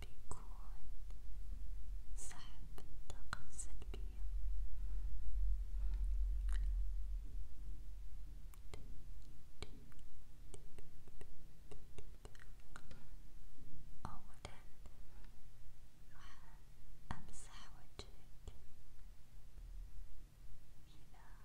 بيكون سحب الطاقة السلبية أولا راح أمسح وجهك كذا كذا كذا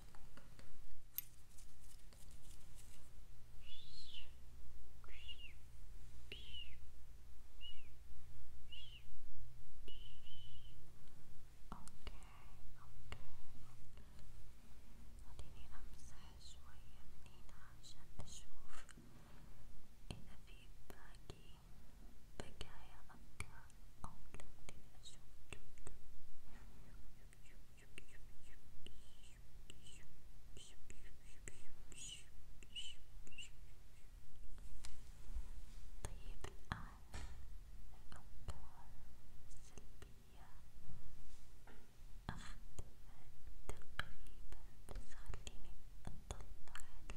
خليني امسح شوية من هنا عشان اشوف اذا في باقي بكايا أبكى أولادي أشوف طيب الآن الأفكار السلبية أخذها تقريبا بس خليني أطلع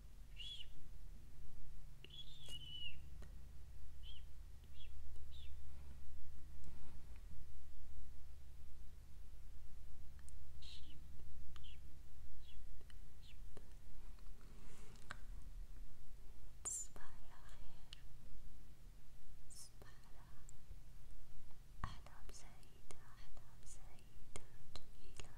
تصبح على خير تصبح على أحلام سعيدة أحلام سعيدة جميلة